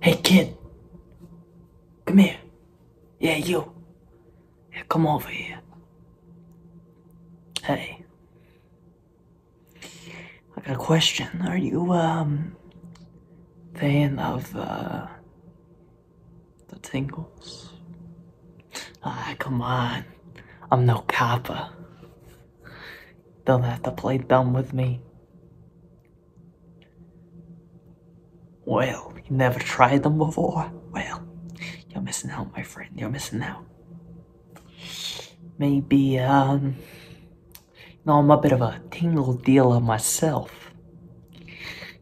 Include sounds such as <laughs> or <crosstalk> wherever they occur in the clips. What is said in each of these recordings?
Hey, kid. Come here. Yeah, you. come over here. Hey. I got a question. Are you, um, fan of, uh, the tingles? Ah, come on. I'm no kappa. They'll have to play dumb with me. Well, you never tried them before? Well, you're missing out, my friend. You're missing out. Maybe, um... You know, I'm a bit of a tingle dealer myself.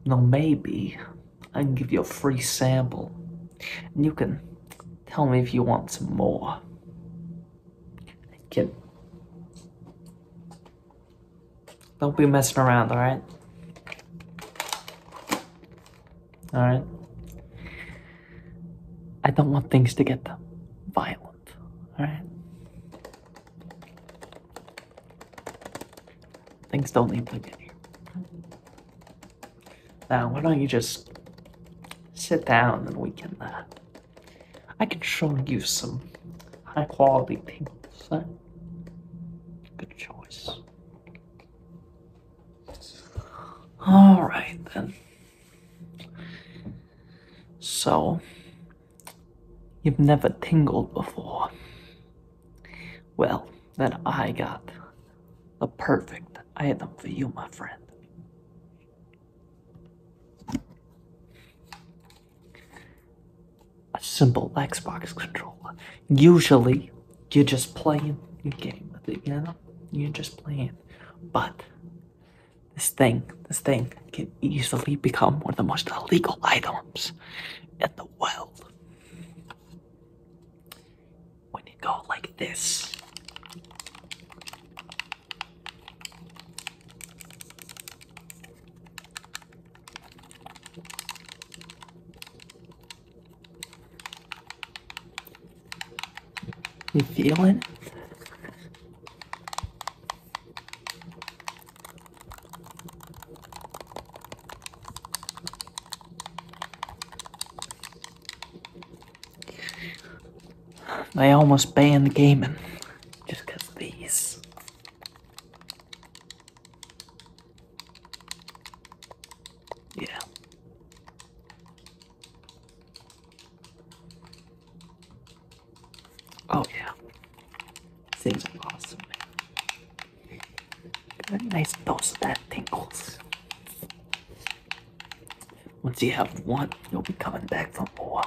Now maybe I can give you a free sample. And you can tell me if you want some more. Kid. Don't be messing around, alright? Alright? I don't want things to get violent, alright? Things don't need to get here. Now, why don't you just sit down and we can uh, I can show you some high quality things. Huh? Good choice. Alright then. So, you've never tingled before. Well, then I got the perfect item for you, my friend. A simple Xbox controller. Usually, you're just playing your game with it, you know? You're just playing. But this thing, this thing can easily become one of the most illegal items in the world. When you go like this, you feel it? They almost banned gaming just because of these. Yeah. Oh yeah. Things are awesome. nice dose of that tingles. Once you have one, you'll be coming back for more.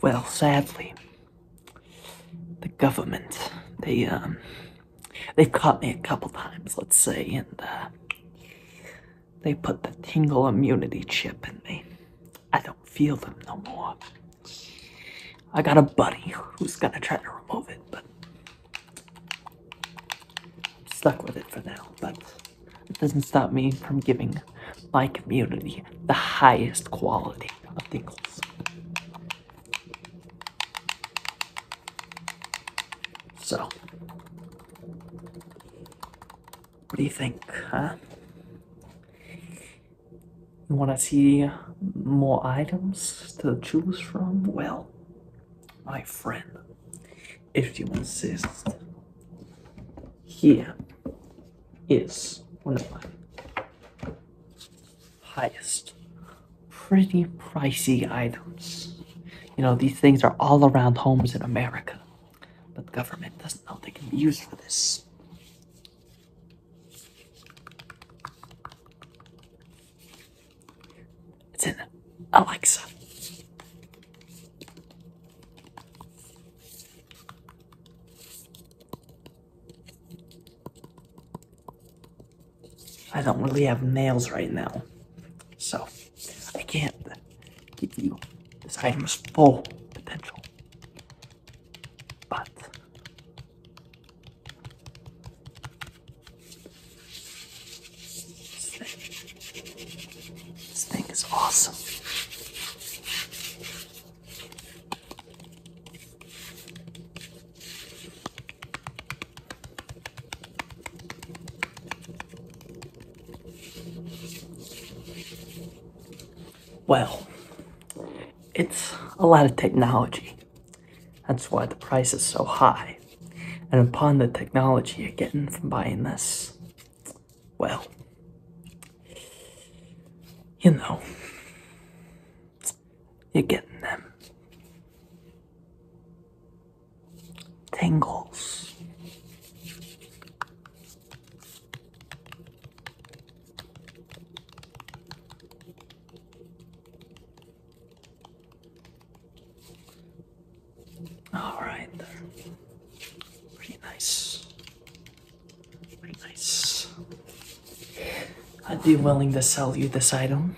Well, sadly, the government, they, um, they've caught me a couple times, let's say, and, uh, they put the tingle immunity chip in me. I don't feel them no more. I got a buddy who's gonna try to remove it, but I'm stuck with it for now. But it doesn't stop me from giving my community the highest quality of tingles. So, what do you think, huh? You want to see more items to choose from? Well, my friend, if you insist, here is one of my highest, pretty pricey items. You know, these things are all around homes in America, but government doesn't know they can be used for this. It's in Alexa. I don't really have nails right now, so I can't give you this item's full potential but this thing, is awesome. Well, it's a lot of technology. That's why the price is so high. And upon the technology you're getting from buying this, well, you know, you're getting them tingles. All right, pretty nice. Pretty nice. I'd be willing to sell you this item,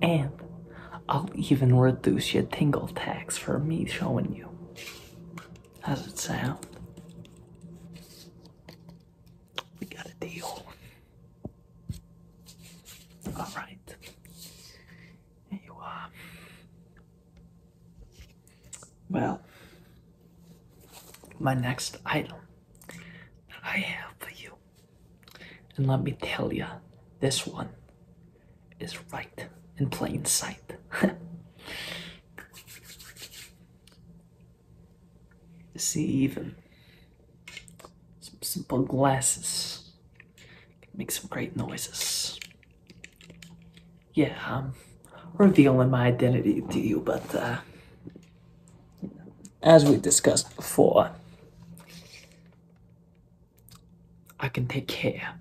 and I'll even reduce your tingle tax for me showing you. How's it sound? We got a deal. All right. Here you are. Well, my next item that I have for you, and let me tell you, this one is right in plain sight. <laughs> see even some simple glasses make some great noises. Yeah, I'm um, revealing my identity to you, but uh, as we discussed before, I can take care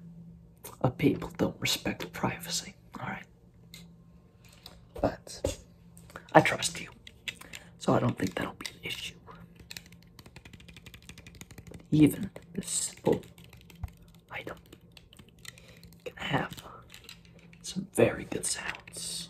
of people don't respect privacy. All right. But I trust you. So I don't think that'll be an issue. even this simple item can have some very good sounds.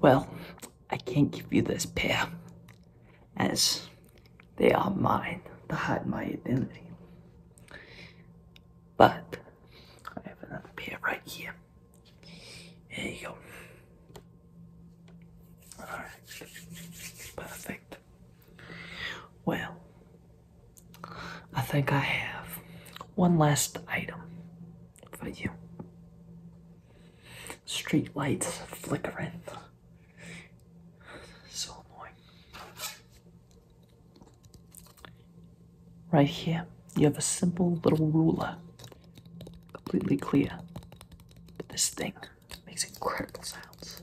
well, I can't give you this pair, as they are mine They hide my identity. But I have another pair right here. There you go. Alright. Perfect. Well, I think I have one last item for you. Street lights flickering. So annoying. Right here, you have a simple little ruler. Completely clear. But this thing makes incredible sounds.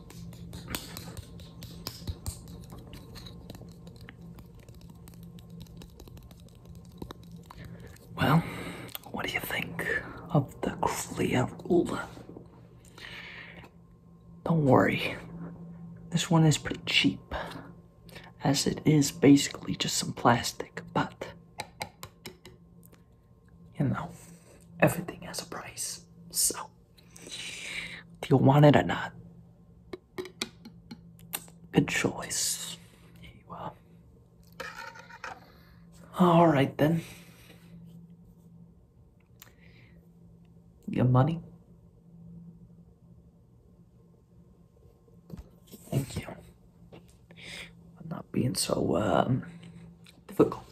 Well, what do you think of the clear ruler? Don't worry, this one is pretty cheap, as it is basically just some plastic, but you know, everything has a price. So, do you want it or not? Good choice. Here All right then. Your money. Thank you. For not being so um, difficult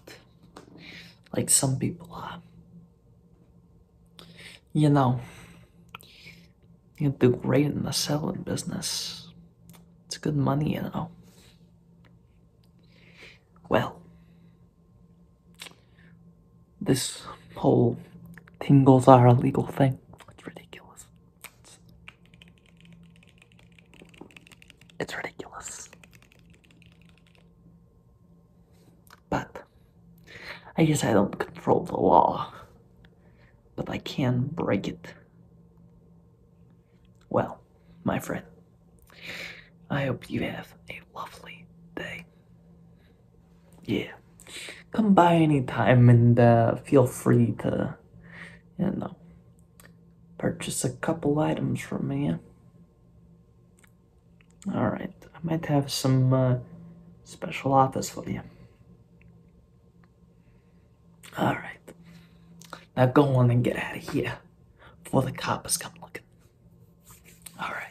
like some people are. Uh, you know, you do great in the selling business. It's good money, you know. Well, this whole tingles are a legal thing. It's ridiculous. It's, it's ridiculous. But I guess I don't control the law, but I can break it. Well, my friend, I hope you have a lovely day. Yeah, come by anytime and uh, feel free to, you know, purchase a couple items from me. All right, I might have some uh, special offers for you. All right, now go on and get out of here before the cops come looking. All right.